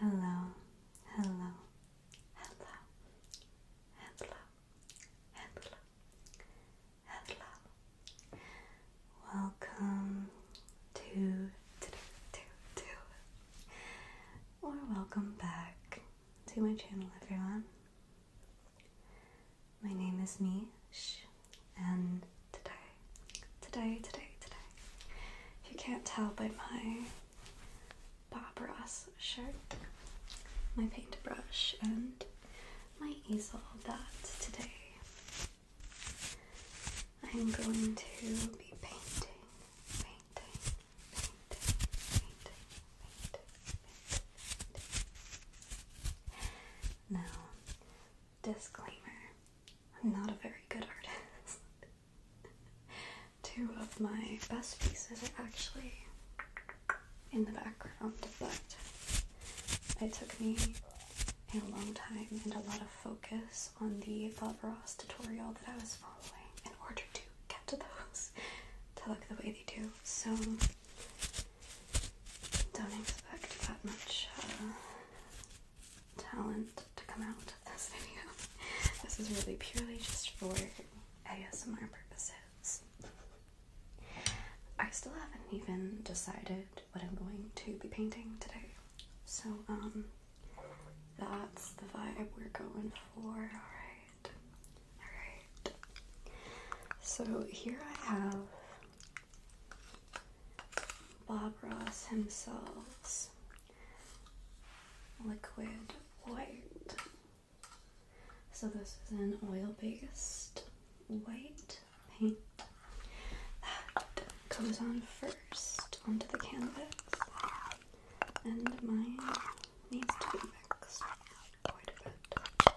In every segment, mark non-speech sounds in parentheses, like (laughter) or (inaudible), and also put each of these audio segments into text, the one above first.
Hello, hello, hello, hello, hello, hello. Welcome to, to, to, to, or welcome back to my channel, everyone. My name is Mish, and today, today, today, today, if you can't tell by my Bob Ross shirt, my paintbrush, and my easel, that today I'm going to be painting, painting, painting, painting, painting, painting. Now, Disclaimer I'm not a very good artist. (laughs) Two of my best pieces are actually in the background, but it took me a long time and a lot of focus on the Bob Ross tutorial that I was following in order to get to those (laughs) to look the way they do. So don't expect that much uh, talent to come out of this (laughs) video. This is really purely just for ASMR purposes. I still haven't even decided what I'm going to be painting today. So, um, that's the vibe we're going for, alright. Alright. So, here I have Bob Ross himself's liquid white. So this is an oil-based white paint that comes on first onto the canvas and mine needs to be mixed quite a bit.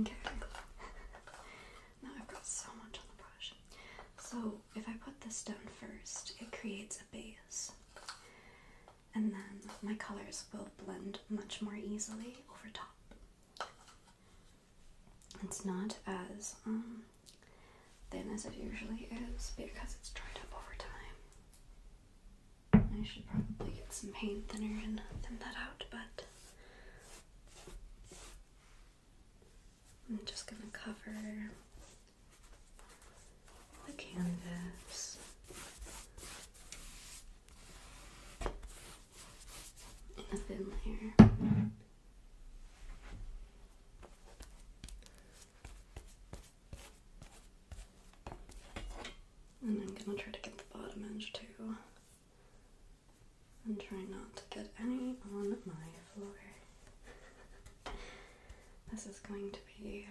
Okay. (laughs) now I've got so much on the brush. So if I put this down first, it creates a base. And then my colors will blend much more easily over top. It's not as um, thin as it usually is because it's dried up over time. I should probably get some paint thinner and thin that out, but I'm just gonna cover the canvas in a thin layer. And I'm gonna try to get the bottom edge too. And try not to get any on my floor. this is going to be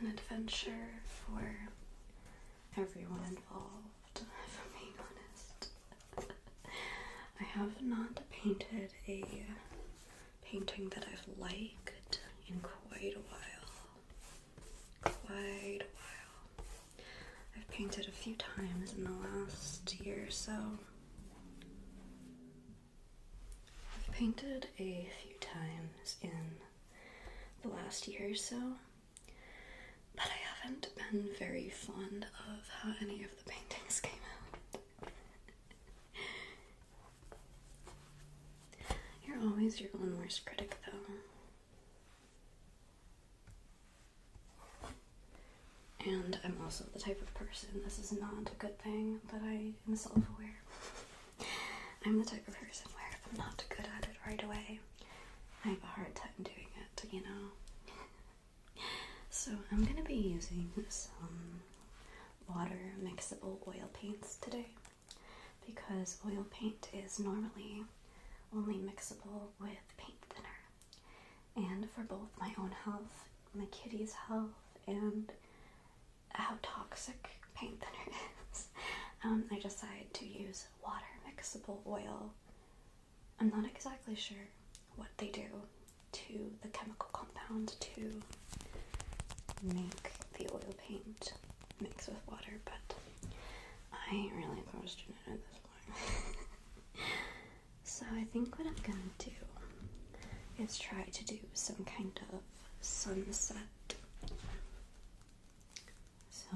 an adventure for everyone involved, if being honest. I have not painted a painting that I've liked in quite a while. Quite a while. I've painted a few times in the last year or so. I've painted a few times in the last year or so, but I haven't been very fond of how any of the paintings (laughs) came out. (laughs) You're always your own worst critic, though. And I'm also the type of person, this is not a good thing, but I am self aware. (laughs) I'm the type of person where if I'm not good at it right away, I have a hard time doing it, you know? So I'm gonna be using some water mixable oil paints today because oil paint is normally only mixable with paint thinner. And for both my own health, my kitty's health, and how toxic paint thinner (laughs) is, um, I decided to use water mixable oil I'm not exactly sure what they do to the chemical compound to make the oil paint mix with water, but I ain't really question it at this point. (laughs) so I think what I'm gonna do is try to do some kind of sunset. So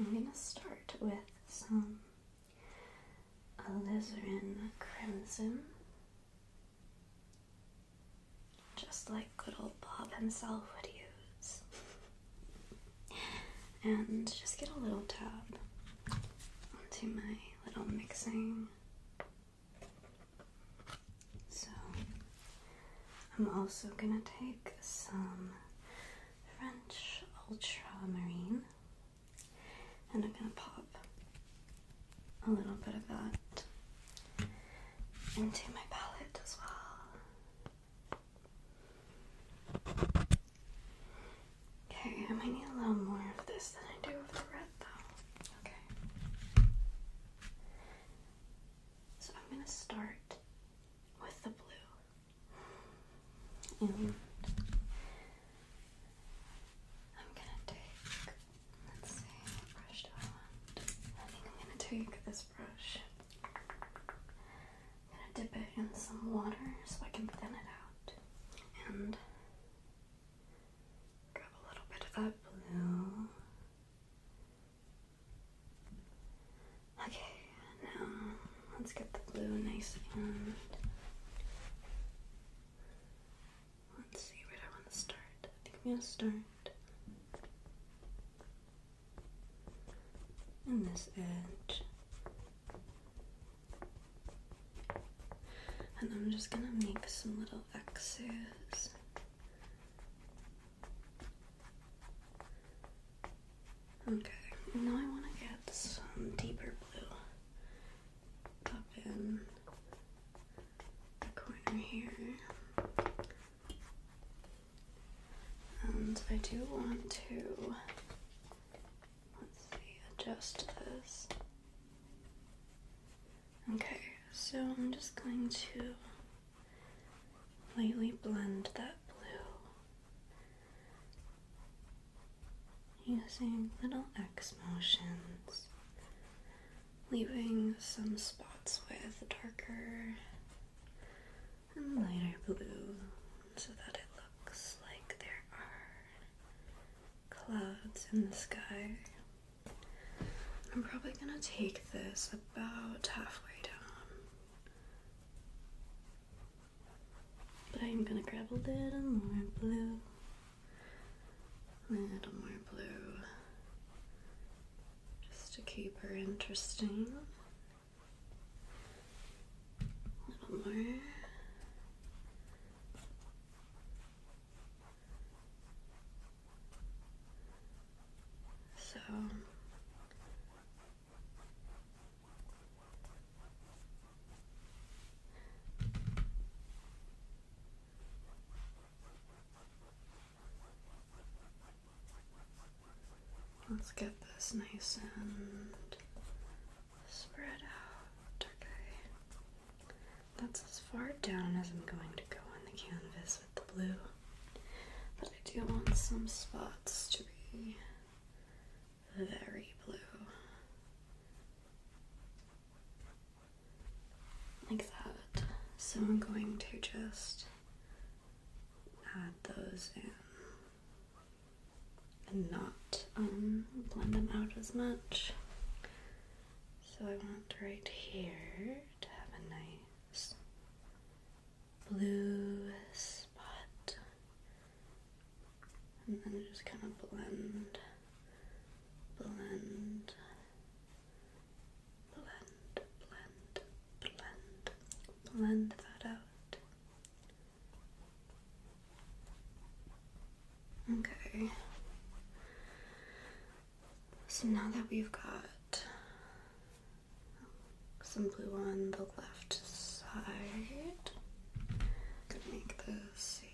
I'm gonna start with some alizarin crimson, just like good old Bob himself would use, (laughs) and just get a little dab onto my little mixing. So, I'm also gonna take some French ultramarine and I'm going to pop a little bit of that into my palette as well. Okay, I might need a little more of this than I do of the red though. Okay. So I'm going to start with the blue. I'm gonna take, let's see, what brush I think I'm gonna take this brush. gonna dip it in some water so I can thin it out. And grab a little bit of that blue. Okay, now let's get the blue nice and Let's see where I want to start. I think I'm gonna start. In this edge. And I'm just gonna make some little X's. Okay, now I want to get some deeper blue. Up in the corner here. And I do want to let's see, adjust this. Okay, so I'm just going to lightly blend that blue using little X motions, leaving some spots with darker and lighter blue so that it looks like there are clouds in the sky. I'm probably gonna take this about halfway down but I'm gonna grab a little more blue. A little more blue. Just to keep her interesting. A little more. So Let's get this nice and spread out. Okay. That's as far down as I'm going to go on the canvas with the blue. But I do want some spots to be very blue. Like that. So I'm going to just add those in and not um, blend them out as much. So I want right here to have a nice blue spot and then just kind of blend, blend, blend, blend, blend, blend that out. Okay. So now that we've got some blue on the left side, I'm gonna make the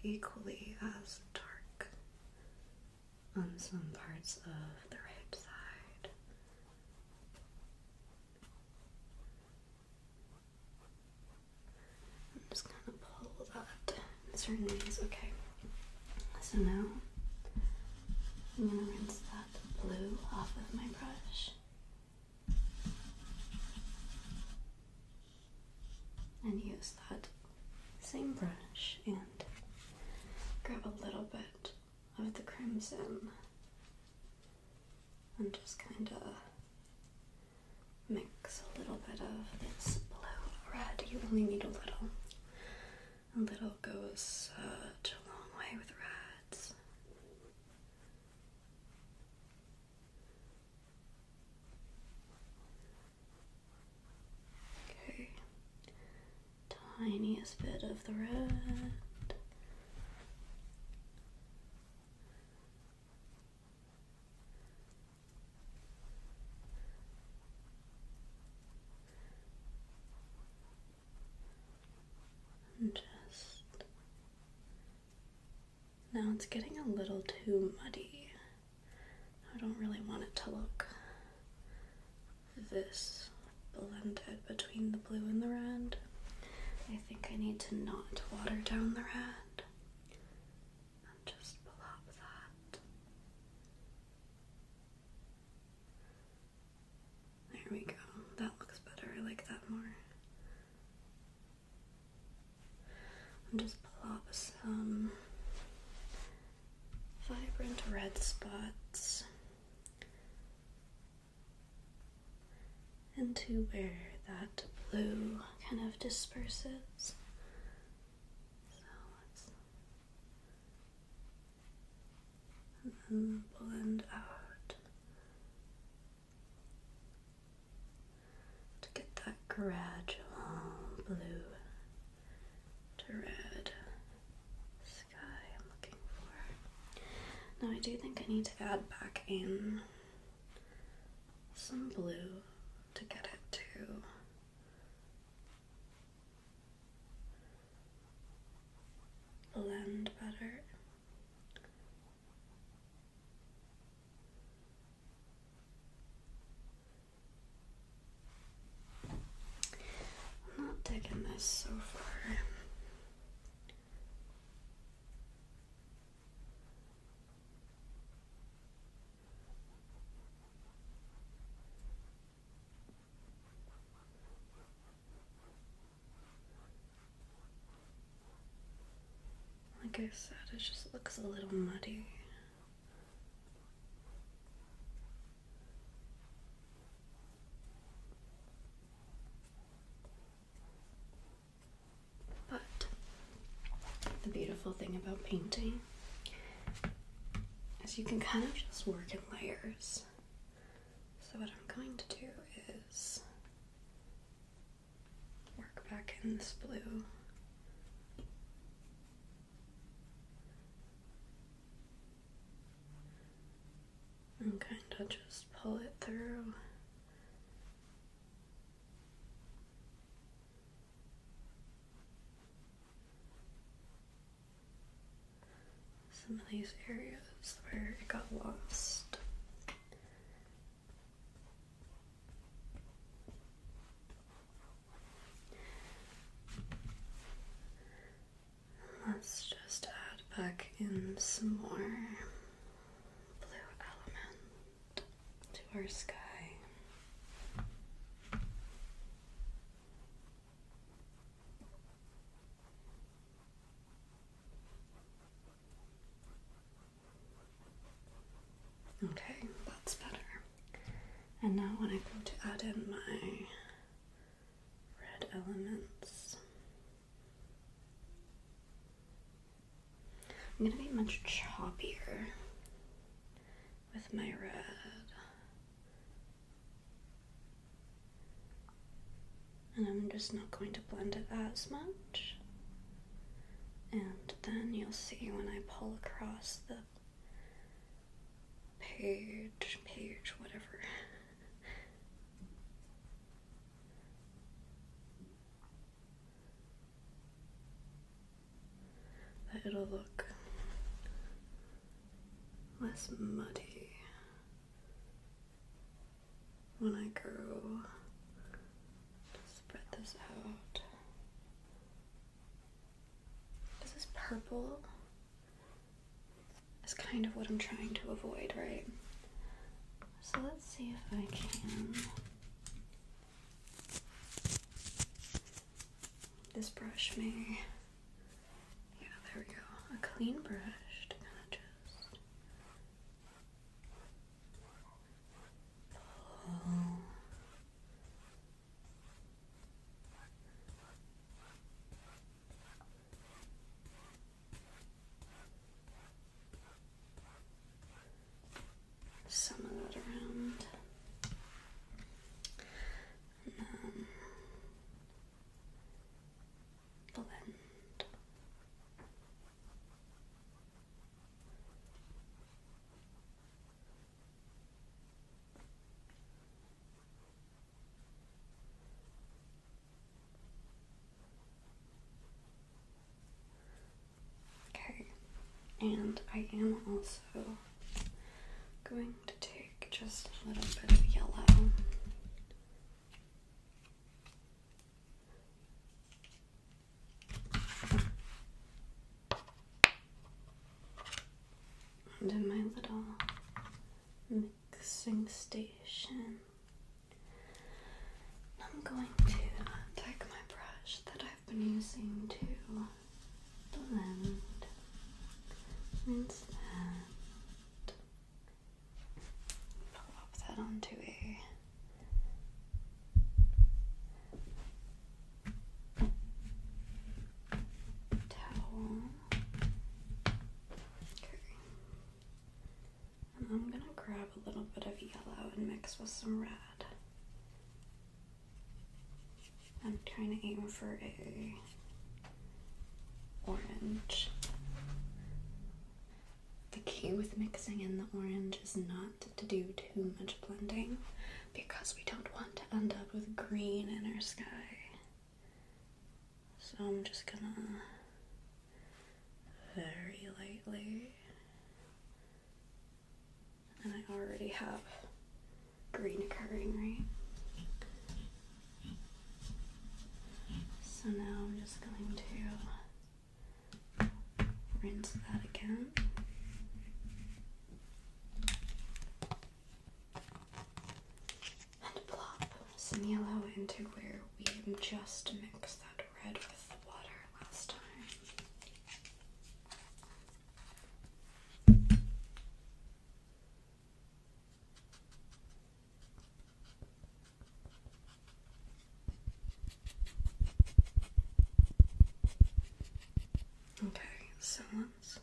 equally as dark on some parts of the right side. I'm just gonna pull that certain ways. Okay, so now I'm gonna rinse that blue off of my brush. And use that same brush and grab a little bit of the crimson and just kind of mix a little bit of this blue red. You only need a little. A little goes such a long way with reds. Okay. Tiniest bit of the red. just now it's getting a little too muddy. I don't really want it to look this blended between the blue and the red. I think I need to not water down the red just plop that. There we go. That looks better. I like that more. And just plop some vibrant red spots into where that blue kind of disperses. So let's and blend out to get that gradual blue to red sky I'm looking for. Now I do think I need to add back in some blue to get it to blend better. I'm not taking this so far. Like I said, it just looks a little muddy. But the beautiful thing about painting is you can kind of just work in layers. So, what I'm going to do is work back in this blue. I'm kind of just pull it through. Some of these areas where it got lost Let's just add back in some more blue element to our sky. Okay, that's better. And now when I go to add in my red elements, I'm gonna be much choppier with my red. And I'm just not going to blend it as much and then you'll see when I pull across the page, page, whatever. that it'll look less muddy when I go spread this out. This is purple. Is kind of what I'm trying to avoid, right? So let's see if I can. This brush may. Yeah, there we go. A clean brush to kind of just some of that around. And um, then blend. Okay, and I am also going to take just a little bit of yellow. In my little mixing station, I'm going to take my brush that I've been using to blend, rinse that, pop that onto a towel. Okay. I'm gonna grab a little bit of yellow and mix with some red. I'm trying to aim for a orange. The key with mixing in the orange is not to do too much blending because we don't want to end up with green in our sky. So I'm just gonna very lightly, and I already have green occurring, right? So now I'm just going to rinse that again. And plop some yellow into where we just mixed that red with the water last time. Okay, so let's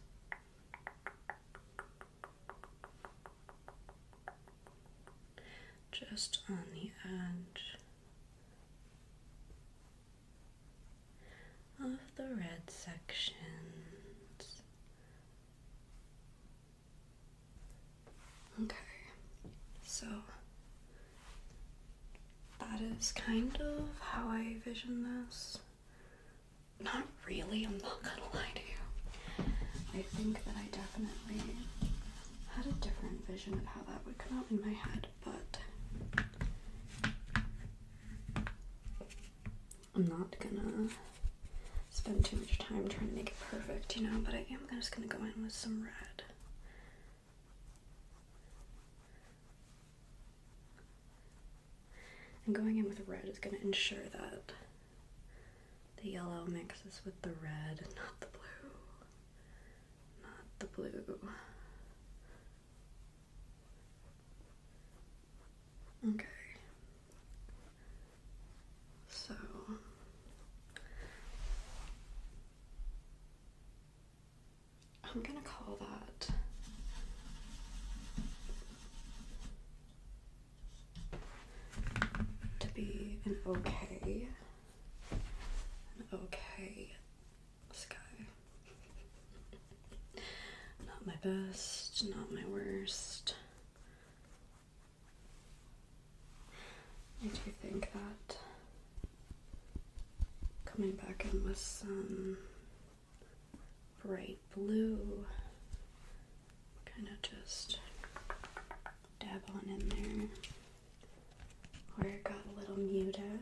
just on the edge of the red sections Okay, so that is kind of how I vision this. Not really, I'm not gonna lie to you. I think that I definitely had a different vision of how that would come out in my head, but I'm not gonna spend too much time trying to make it perfect, you know, but I am just gonna go in with some red. And going in with red is going to ensure that the yellow mixes with the red, not the blue. Not the blue. Okay. So I'm going to call that to be an okay, okay sky. Not my best, not my worst, I do think that coming back in with some bright blue, kind of just dab on in there where it got a little muted.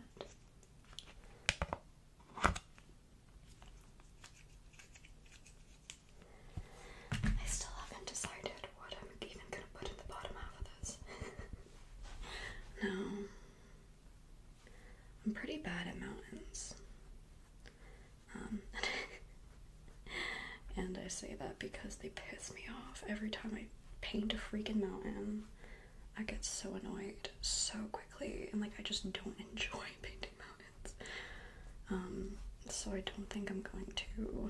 I still haven't decided what am I even gonna put at the bottom half of this? (laughs) no. I'm pretty bad at mountains. Um, (laughs) and I say that because they piss me off. Every time I paint a freaking mountain, I get so annoyed so quickly. And like, I just don't enjoy (laughs) painting mountains. Um, so I don't think I'm going to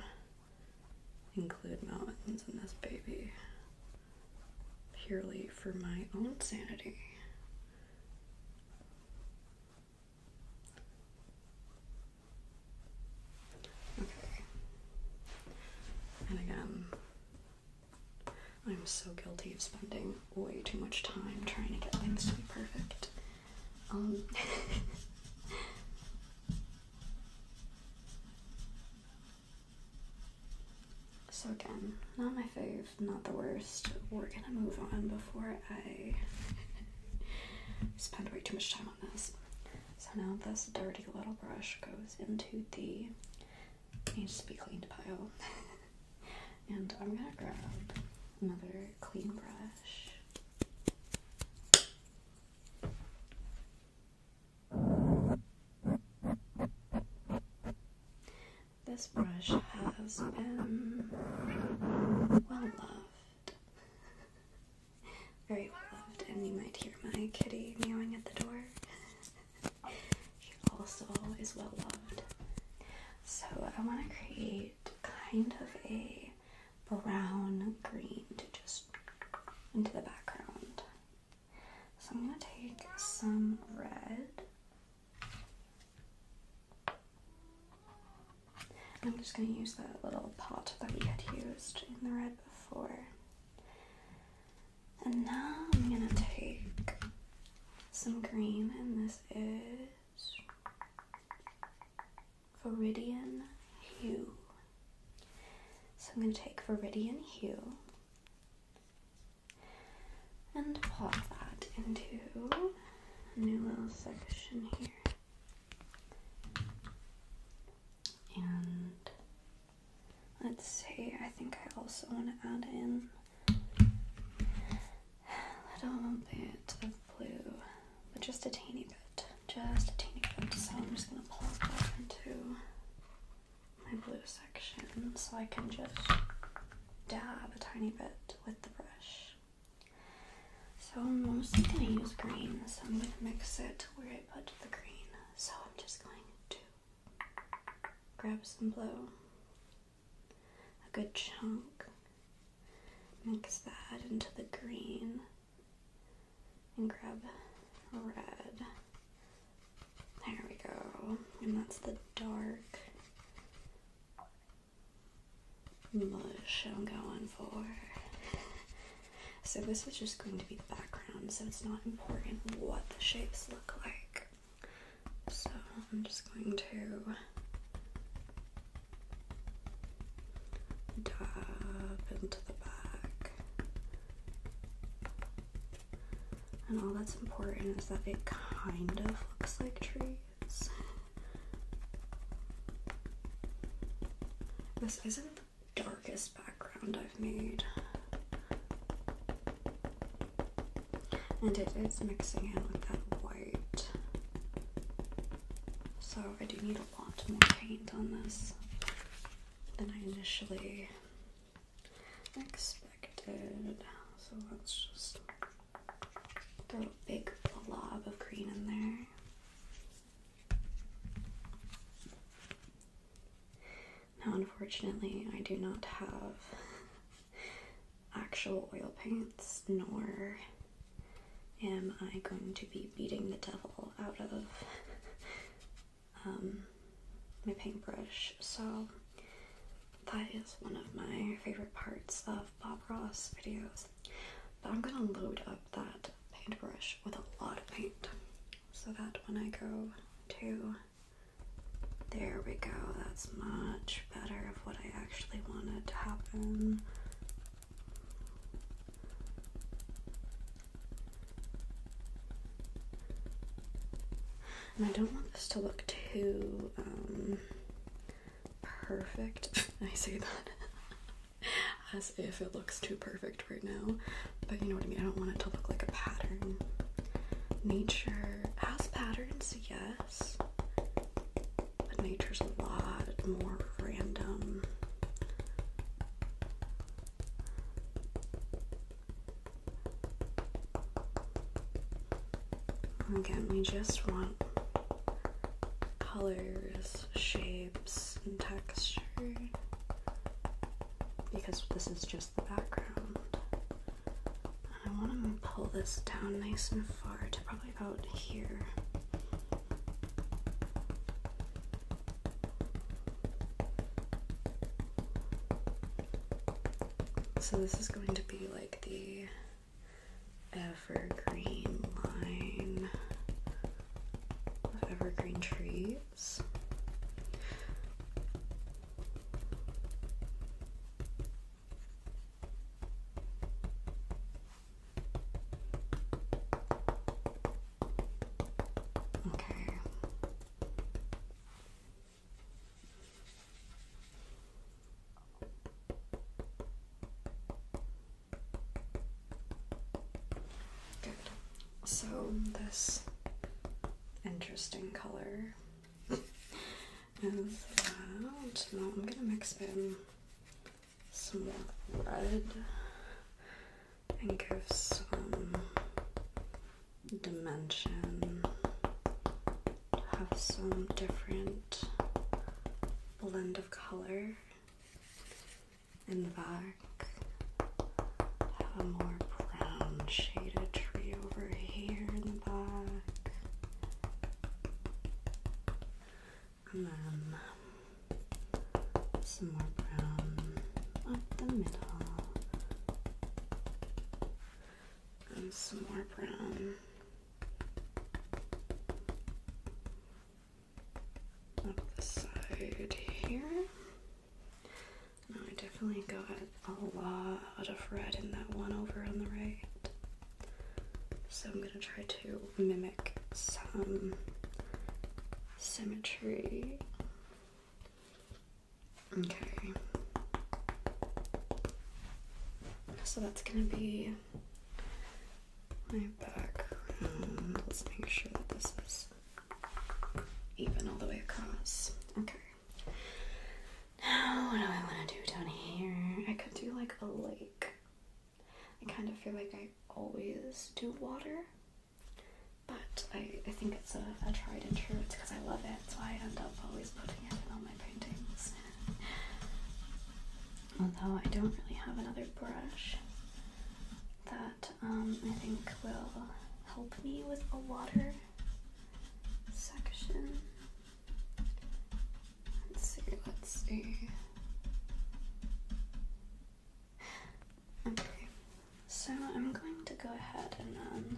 include mountains in this baby purely for my own sanity. Okay. And again, I'm so guilty of spending way too much time trying to get things to be perfect. Um, (laughs) So again, not my fave, not the worst. We're gonna move on before I (laughs) spend way too much time on this. So now this dirty little brush goes into the needs to be cleaned pile. (laughs) and I'm gonna grab another clean brush. This brush has been well loved. Very well loved, and you might hear my kitty meowing at the door. she also is well loved. So, I want to create kind of a brown green to just into the background. So I'm going to take some red. I'm just going to use that little pot that we had used in the red before. And now I'm going to take some green, and this is Viridian Hue. So I'm going to take Viridian Hue and pop that into a new little section here. And let's see, I think I also want to add in a little bit of blue, but just a tiny bit just a tiny bit. So I'm just gonna pull it into my blue section so I can just dab a tiny bit with the brush. So I'm mostly gonna use green, so I'm gonna mix it to where I put the green. So I'm just going to grab some blue, a good chunk, mix that into the green and grab red. There we go. And that's the dark mush I'm going for. so this is just going to be the background, so it's not important what the shapes look like. So I'm just going to dab into the back. And all that's important is that it kind of looks like trees. This isn't the darkest background I've made. And it is mixing in with that white. So I do need a lot more paint on this than I initially expected. So let's just throw a big blob of green in there. Now, unfortunately, I do not have actual oil paints nor am I going to be beating the devil out of um, my paintbrush. So that is one of my favorite parts of Bob Ross videos. But I'm gonna load up that paintbrush with a lot of paint so that when I go to there we go, that's much better of what I actually wanted to happen. And I don't want this to look too um, perfect. (laughs) I say that (laughs) as if it looks too perfect right now, but you know what I mean. I don't want it to look like a pattern. Nature has patterns, yes, but nature's a lot more random. Again, we just want colors, shapes, and texture because this is just the background. I want to pull this down nice and far to probably about here. So this is going to be like the evergreen line evergreen trees. Okay. Good. So, this interesting color is that. Now I'm going to mix in some more red and give some dimension. Have some different blend of color in the back. Have a more brown shaded tree over here in the back and then um, some more brown up the middle, and some more brown up the side here. Now I definitely got a lot of red in that one over on the right. So I'm going to try to mimic some symmetry. Okay. So that's gonna be my background. Let's make sure this is even all the way across. Okay. Now, what do I want to do down here? I could do like a lake I kind of feel like I always do water, but I, I think it's a, tried and true. It's because I love it, so I end up always putting it in all my paintings. (laughs) Although I don't really have another brush that um, I think will help me with a water section. Let's see, let's see. Okay, so I'm going to go ahead and then um,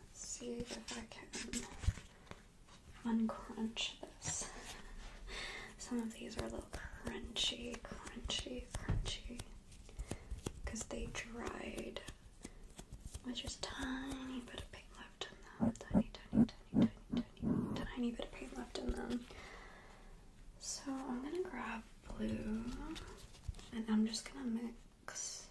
let's see if I can uncrunch this. Some of these are a little crunchy, crunchy, crunchy because they dried with just a tiny bit of left left in them. Tiny, tiny, tiny, tiny, tiny, tiny bit of paint left in them. So I'm gonna grab blue and I'm just gonna mix.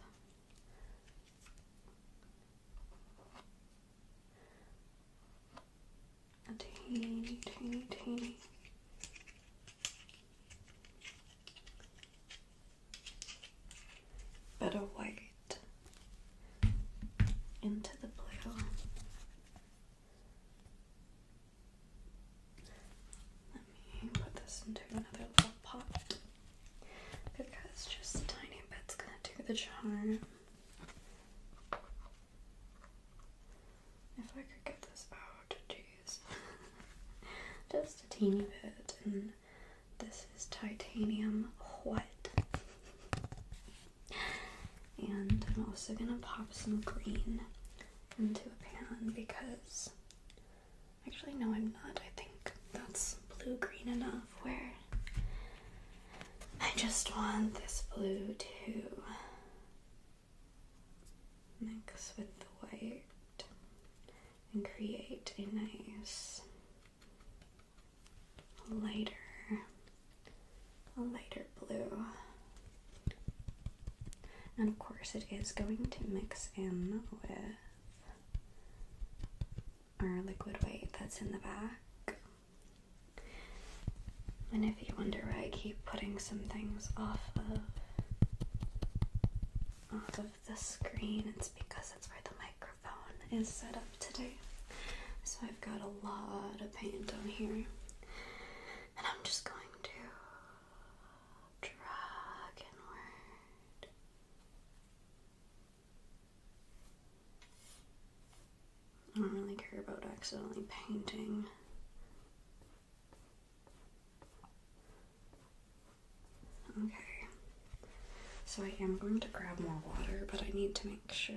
A teeny, teeny, teeny. Bit of white into the blue. Let me put this into another little pot because just tiny bit's gonna do the charm. If I could get this out, jeez. (laughs) just a teeny bit, and this is titanium white. (laughs) And I'm also gonna pop some green into a pan because actually no I'm not. I think that's blue green enough where I just want this blue to mix with the white and create a nice lighter, lighter blue. And of course, it is going to mix in with our liquid white that's in the back. And if you wonder why I keep putting some things off of off of the screen, it's because that's where the microphone microphone is set up today. So I've got a lot of paint on here. And I'm just going to drag inward. I don't really care about accidentally painting. Okay. So I am going to grab more water, but I need to make sure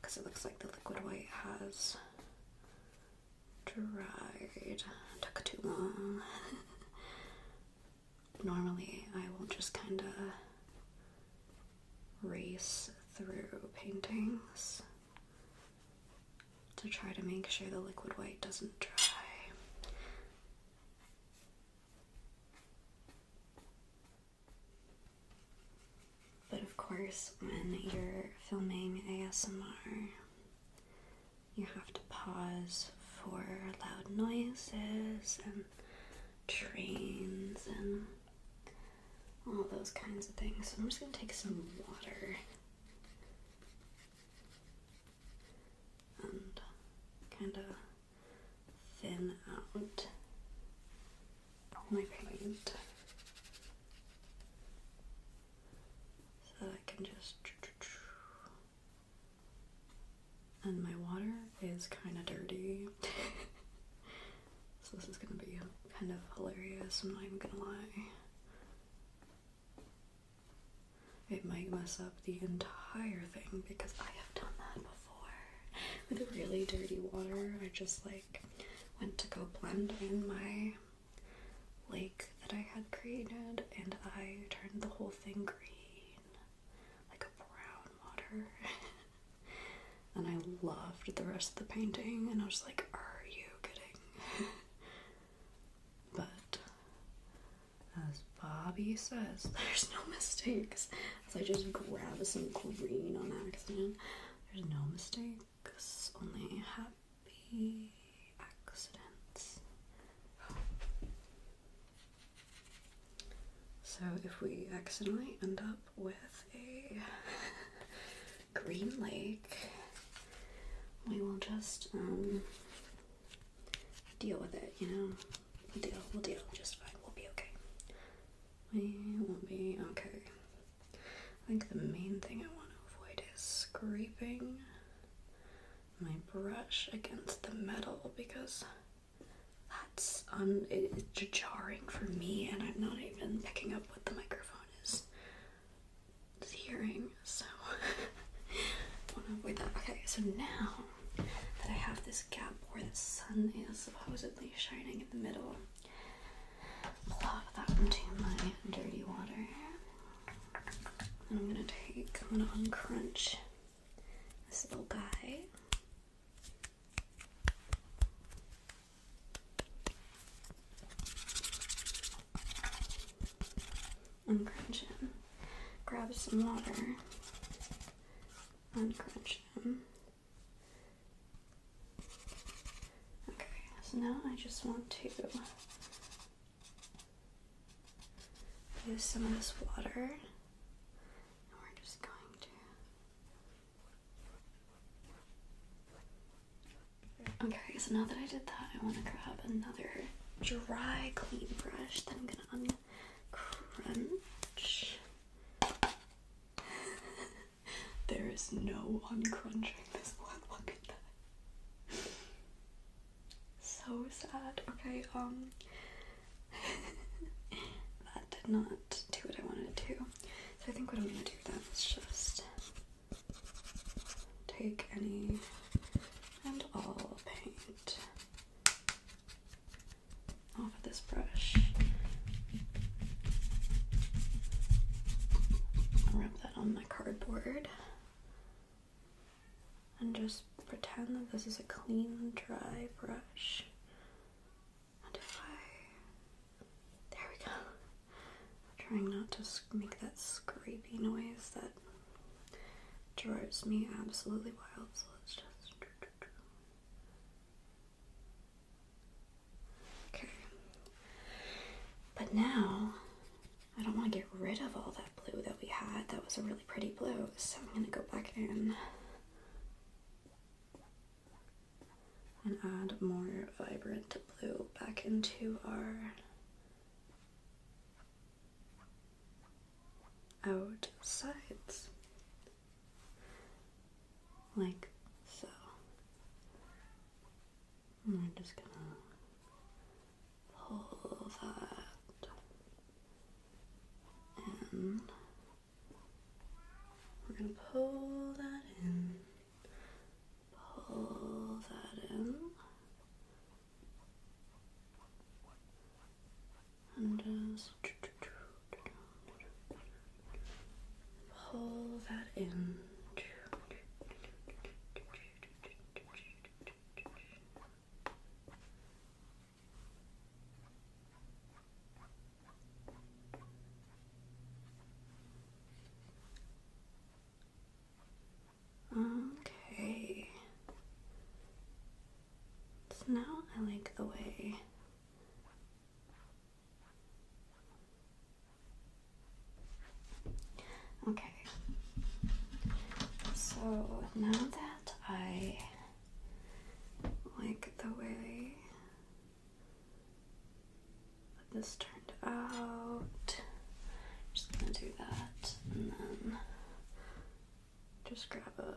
because it looks like the liquid white has dried. Took too long. Normally, I will just kind of race through paintings to try to make sure the liquid white doesn't dry. But of course, when you're filming ASMR, you have to pause for loud noises and trains and all those kinds of things. So I'm just gonna take some water and kind of thin out my plate so that I can just and my water is kind of dirty (laughs) so this is gonna be kind of hilarious I'm not even gonna lie it might mess up the entire thing because I have done that before with a really dirty water. I just like went to go blend in my lake that I had created and I turned the whole thing green, like a brown water. (laughs) and I loved the rest of the painting and I was like, are you kidding? (laughs) but as Bobby says, (laughs) there's no mistakes. As I just grab some green on accident, there's no mistakes, only happy accidents. So if we accidentally end up with a (laughs) green lake, we will just um, deal with it, you know. We'll deal, we'll deal just fine. We'll be okay. We will be okay. I think the main thing I want to avoid is scraping my brush against the metal because that's un it's jarring for me and I'm not even picking up what the microphone is, is hearing so (laughs) I want to avoid that okay so now that I have this gap where the sun is supposedly shining in the middle. Plop that into my dirty water. I'm gonna take, i crunch this little guy. Uncrunch him. Grab some water uncrunch them. Okay, so now I just want to use some of this water, and we're just going to. Okay, so now that I did that, I want to grab another dry clean brush that I'm going to crunch. there is no uncrunching this one. Look at that. So sad. Okay, um. (laughs) that did not do what I wanted to. So I think what I'm gonna do then is just take any and all paint off of this brush. rub that on my cardboard and just pretend that this is a clean, dry brush. And if I. There we go. trying not to make that scrapey noise that drives me absolutely wild. So let's just. Okay. But now, I don't want to get rid of all that blue that we had. That was a really pretty blue. So I'm going to go back in and add more vibrant blue back into our out like so. And i just gonna pull that in. We're gonna pull that in, pull that in, and just uh, pull that in. Okay. So now I like the way Okay. So now that I like the way this turned out, I'm just gonna do that and then just grab a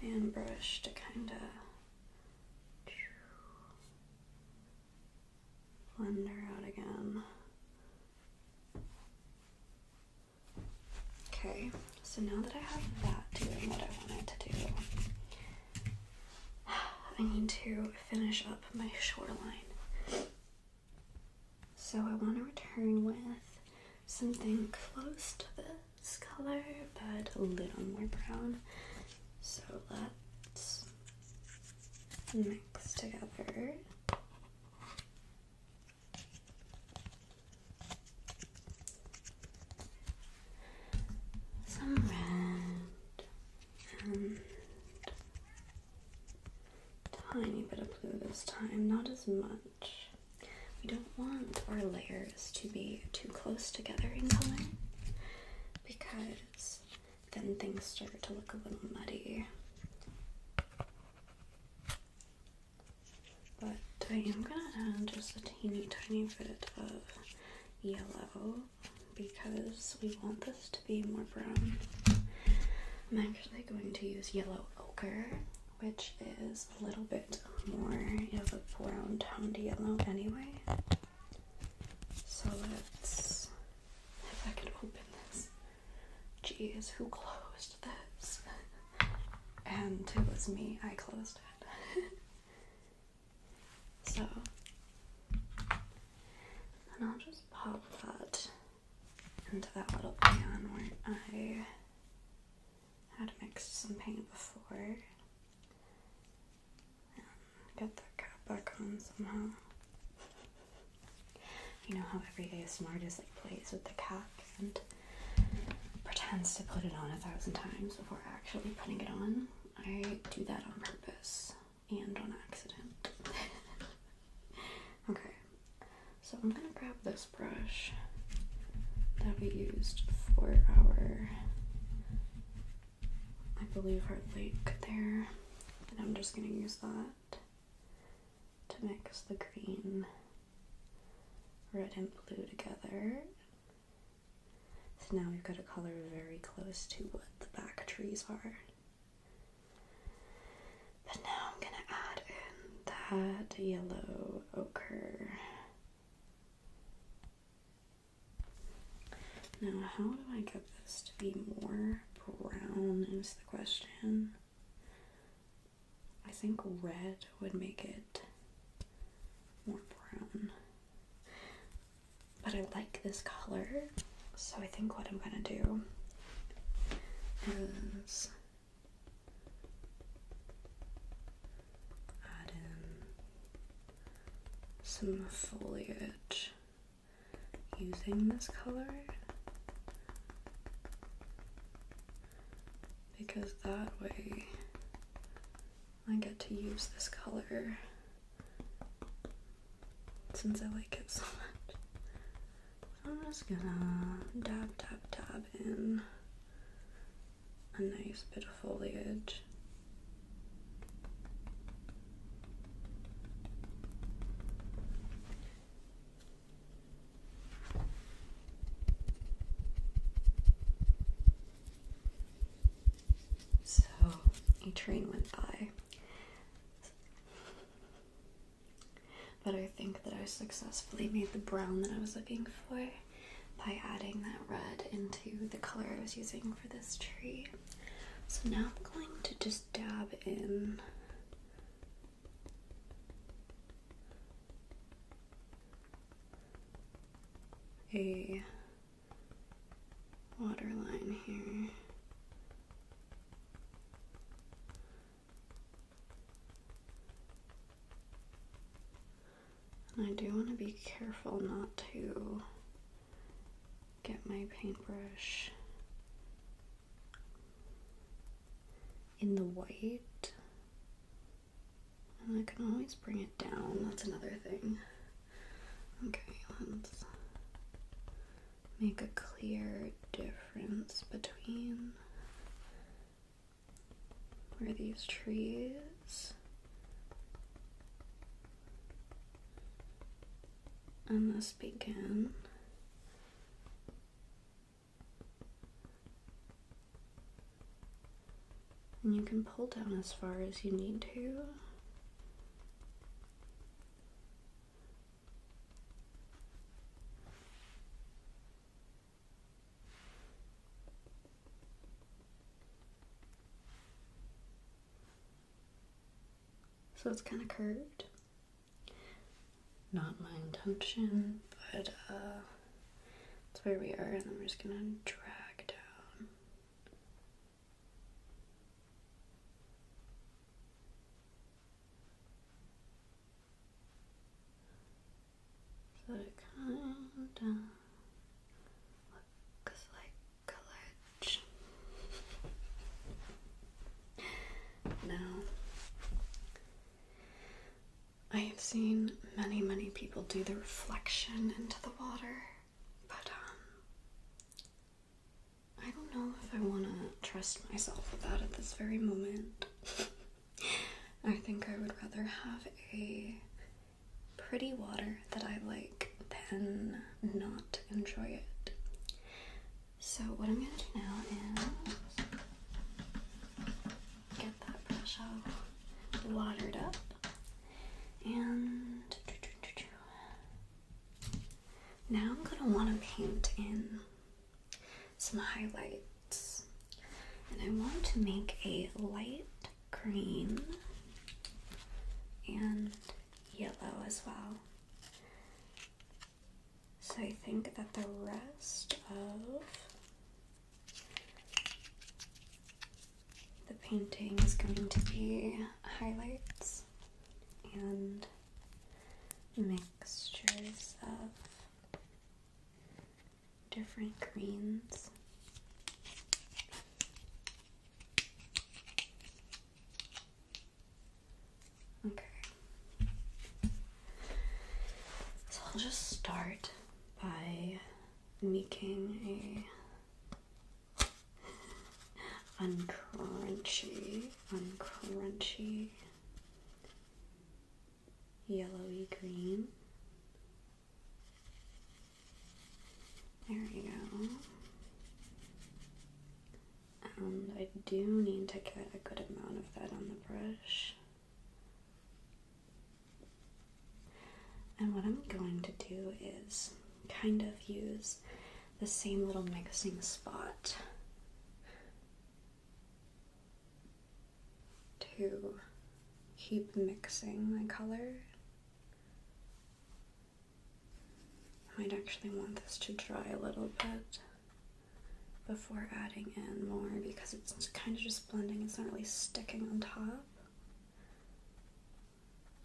fan brush to kind of blend her out again. Okay, so now that I have that doing what I wanted to do, (sighs) I need to finish up my shoreline. So I want to return with something close to this color, but a little more brown. So let's mix together. Some red and Tiny bit of blue this time, not as much. We don't want our layers to be too close together in color because then things start to look a little muddy. But I am gonna add just a teeny tiny bit of yellow because we want this to be more brown. I'm actually going to use yellow ochre, which is a little bit more of a brown toned yellow anyway. So let's, if I could open this. Jeez, who closed this? (laughs) and it was me, I closed it. (laughs) so, and I'll just pop that into that little pan where I had mixed some paint before. get that cap back on somehow. you know how every ASMR just like plays with the cap and pretends to put it on a thousand times before actually putting it on. I do that on purpose and on accident. (laughs) okay, so I'm gonna grab this brush that we used for our, I believe, our lake there, and I'm just gonna use that to mix the green, red, and blue together. So now we've got a color very close to what the back trees are. But now I'm gonna add in that yellow ochre. Now, how do I get this to be more brown? Is the question. I think red would make it more brown but I like this color, so I think what I'm gonna do is add in some foliage using this color because that way I get to use this color since I like it so much. I'm just gonna dab, dab, dab in a nice bit of foliage. So a train went by but I think that I successfully made the brown that I was looking for by adding that red into the color I was using for this tree. So now I'm going to just dab in a Waterline here. And I do want to be careful not to get my paintbrush in the white. And I can always bring it down, that's another thing. Okay, make a clear difference between where these trees and this begin. And you can pull down as far as you need to. So it's kind of curved. Not my intention, but uh, that's where we are, and I'm just gonna drag down so it kind of looks like college. now, I have seen many, many people do the reflection into the water. But, um, I don't know if I want to trust myself with that at this very moment. (laughs) I think I would rather have a pretty water that I like than not enjoy it. So, what I'm gonna do now is get that brush water it up and now I'm going to want to paint in some highlights. And I want to make a light green and yellow as well. So I think that the rest of the painting is going to be highlights and mixtures of different greens. Okay. So I'll just start by making a uncrunchy, uncrunchy, yellowy green. There we go. And I do need to get a good amount of that on the brush. And what I'm going to do is kind of use the same little mixing spot to keep mixing my color. I might actually want this to dry a little bit before adding in more because it's kind of just blending, it's not really sticking on top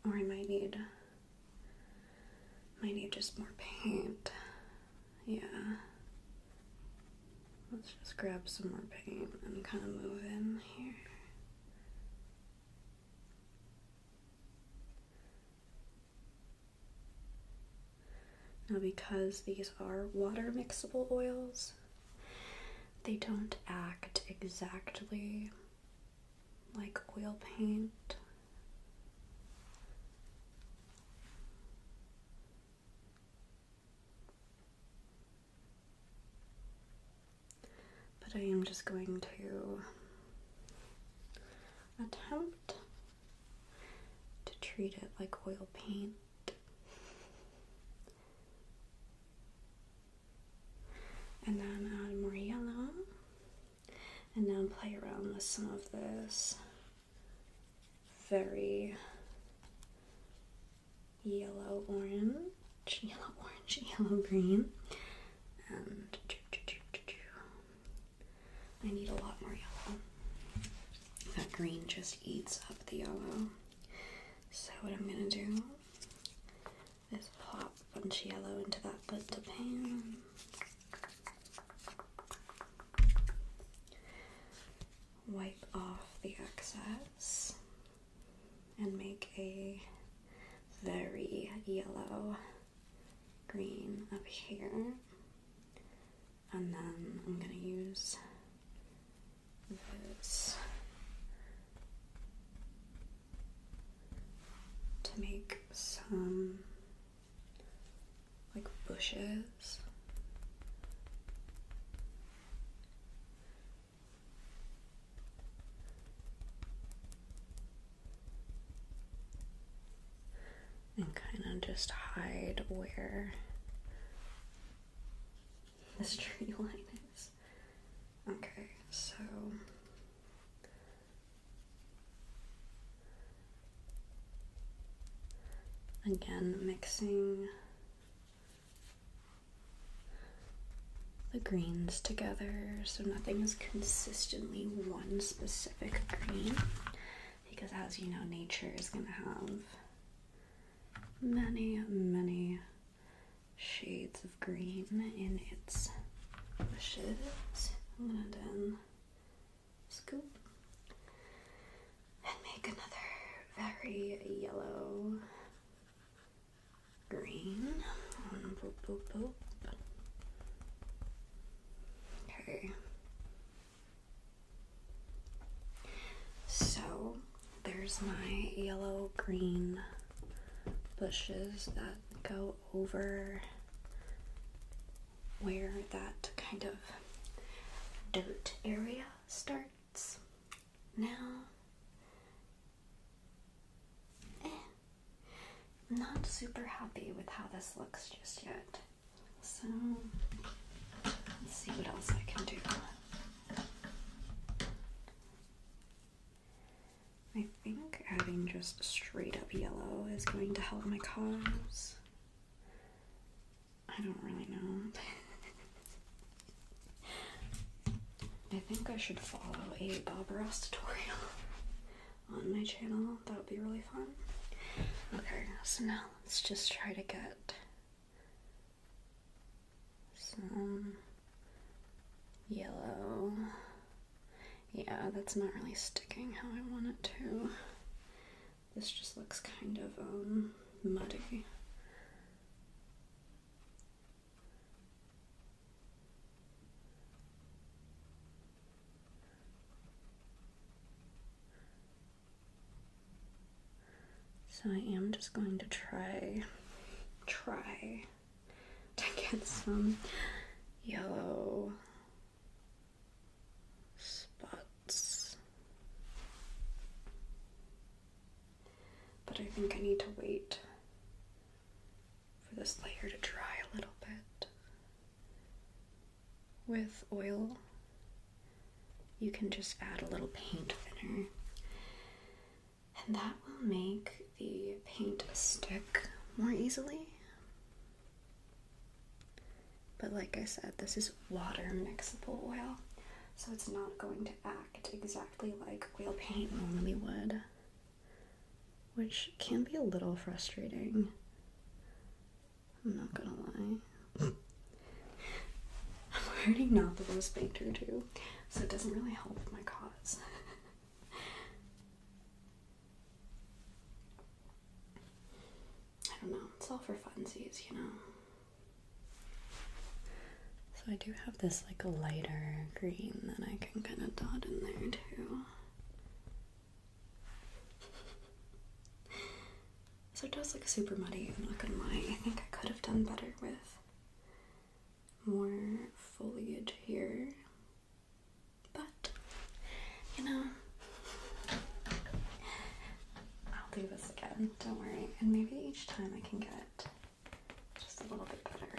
or I might need might need just more paint. Yeah. Let's just grab some more paint and kind of move in here. Now because these are water mixable oils, they don't act exactly like oil paint. But I am just going to attempt to treat it like oil paint. And then add more yellow and now play around with some of this very yellow orange, (laughs) yellow orange, yellow green, and I need a lot more yellow. That green just eats up the yellow. So what I'm gonna do this us bunch of yellow into that butter pan. Wipe off the excess and make a very yellow green up here. And then I'm going to use this to make some like bushes. And kind of just hide where this tree (laughs) line is. Okay, so Again, mixing the greens together so nothing is consistently one specific green because, as you know, nature is going to have many, many shades of green in its bushes. and then scoop and make another very yellow green. Um, okay. So there's my yellow green bushes that go over where that kind of dirt area starts now. I'm eh, not super happy with how this looks just yet. So let's see what else I can do. I think adding just straight up yellow is going to help my cause. I don't really know. (laughs) I think I should follow a Bob Ross tutorial (laughs) on my channel. That would be really fun. Okay, so now let's just try to get some yellow yeah, that's not really sticking how I want it to. This just looks kind of um, muddy. So I am just going to try, try to get some yellow spots. But I think I need to wait for this layer to dry a little bit. With oil, you can just add a little paint thinner and that will make the paint stick more easily. But like I said, this is water mixable oil, so it's not going to act exactly like oil paint normally would, which can be a little frustrating. I'm not gonna lie. (laughs) I'm already not the worst painter too, so it doesn't really help my cause. (laughs) I don't know, it's all for funsies, you know. So I do have this like a lighter green that I can kind of dot in there too. So it does look super muddy, not gonna I think I could have done better with more foliage here. But, you know, I'll do this again, don't worry. And maybe each time I can get just a little bit better.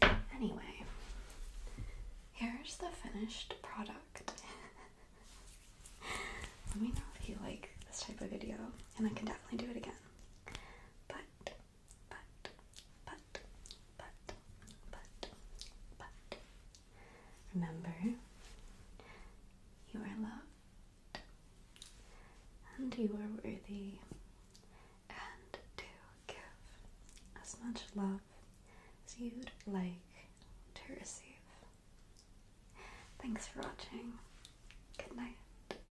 But anyway, here's the finished product. (laughs) Let me know if you like this type of video, and I can definitely do it again. But but, but, but, but, but. Remember, you are loved, and you are worthy, and to give as much love as you'd like to receive. Thanks for watching. Good night.